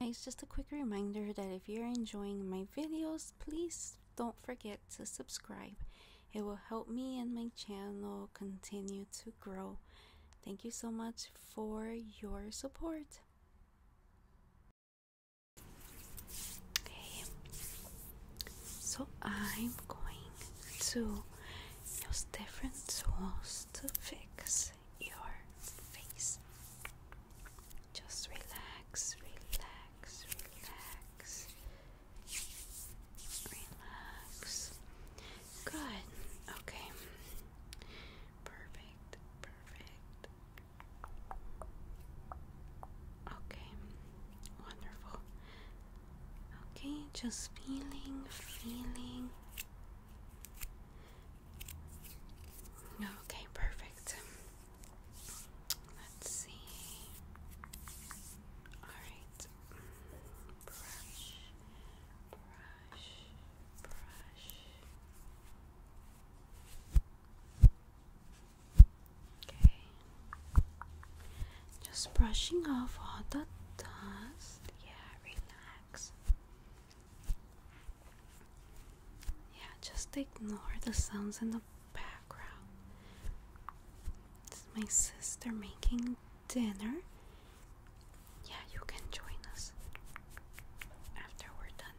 It's just a quick reminder that if you're enjoying my videos, please don't forget to subscribe. It will help me and my channel continue to grow. Thank you so much for your support. Okay, so I'm going to use different tools to fix your face. Just relax, relax, relax, relax. Good, okay, perfect, perfect. Okay, Wonderful. Okay, just feeling, feeling. Okay, perfect. Let's see. Alright. Brush, brush, brush. Okay. Just brushing off all the dust. Yeah, relax. Yeah, just ignore the sounds in the background. It's my sister making dinner. Yeah, you can join us after we're done.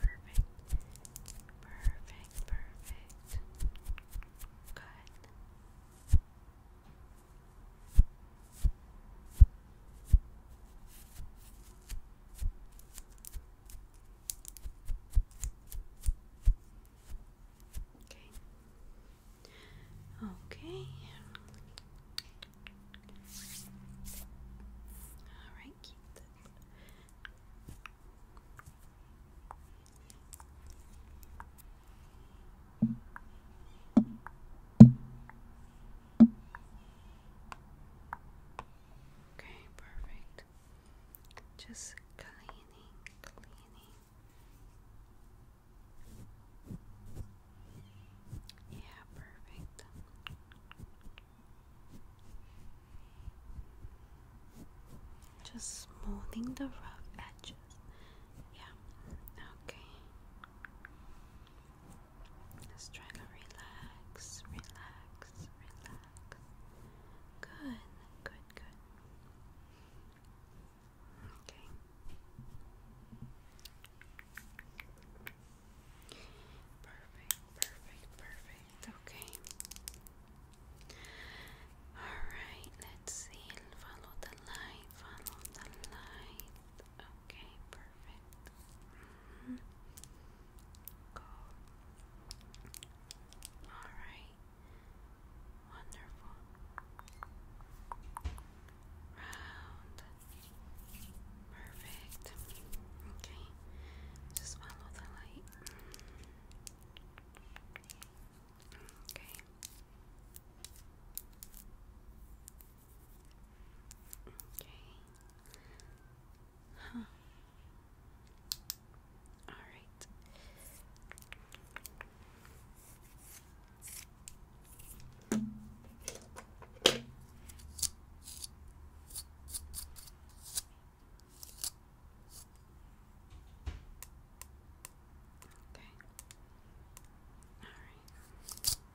Perfect. Perfect. Perfect. Good. Okay. Okay. All right, keep Okay, perfect. Just cleaning, cleaning. Yeah, perfect. Just smoothing the rough edges. Yeah, okay. Let's try to relax, relax, relax. Good, good, good. Okay. Perfect, perfect, perfect. Okay. Alright, let's see. Follow the light, follow the light. Okay, perfect. Mm mm-hmm. Alright. Wonderful. Round. Perfect. Okay. Just follow the light. Okay. Okay. Huh. All right. Okay. All right. Okay.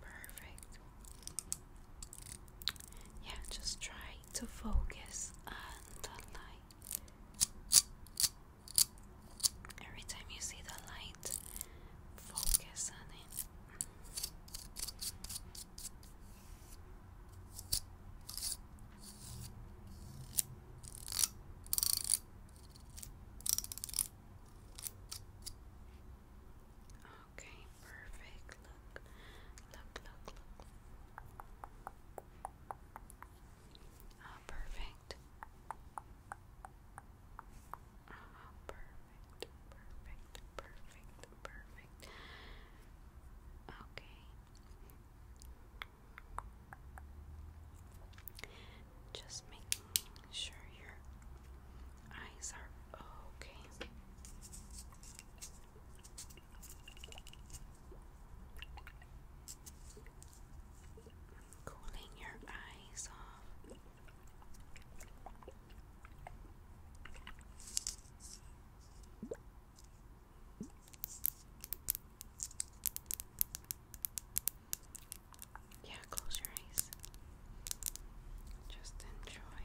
perfect. Yeah, just try to focus on the light. Every time you see the light, focus on it. Okay, perfect. Look, look, look, look. Oh, perfect. Oh, perfect, perfect, perfect, perfect. Okay. Just making sure your eyes are okay. Cooling your eyes off. Okay. Yeah, close your eyes. Just enjoy.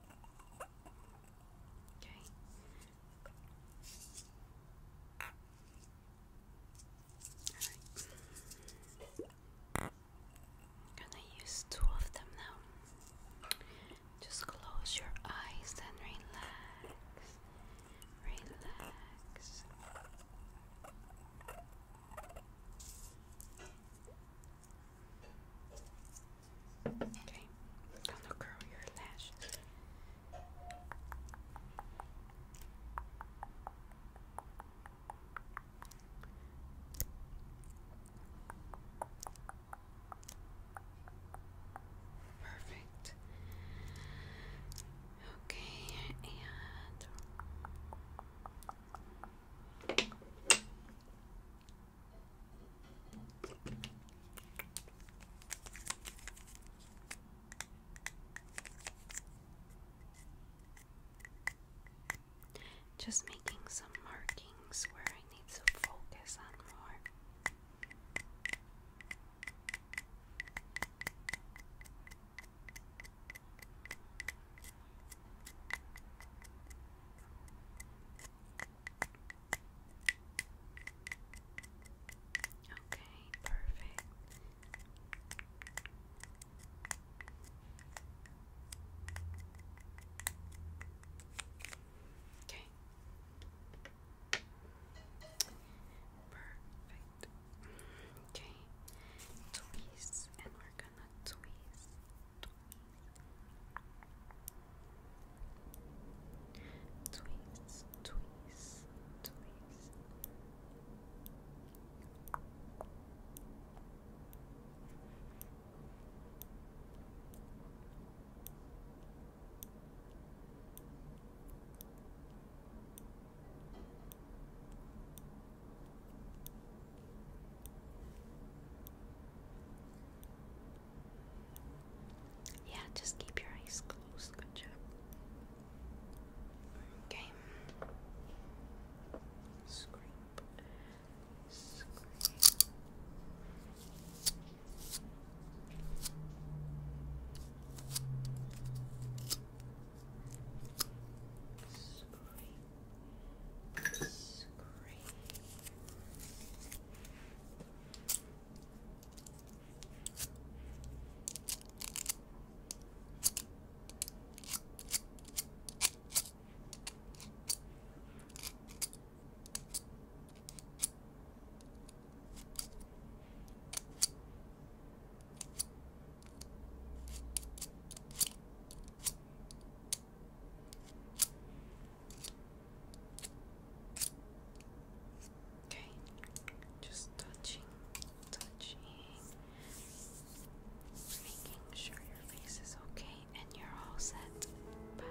Okay. Alright. Gonna use two of them now. Just close your eyes and relax. Relax. Okay, I'm curl your lashes. Perfect. Okay, and just making some markings where I need to focus on more. Okay, perfect. Okay. Perfect. Okay. Tweeze and we're gonna twist, twist, twist, twist. Twist, yeah, just keep your eyes closed. Good job. Okay. Scrape. Scrape. Scrape. Scrape. Okay, just touching, touching, making sure your face is okay and you're all set. Bye.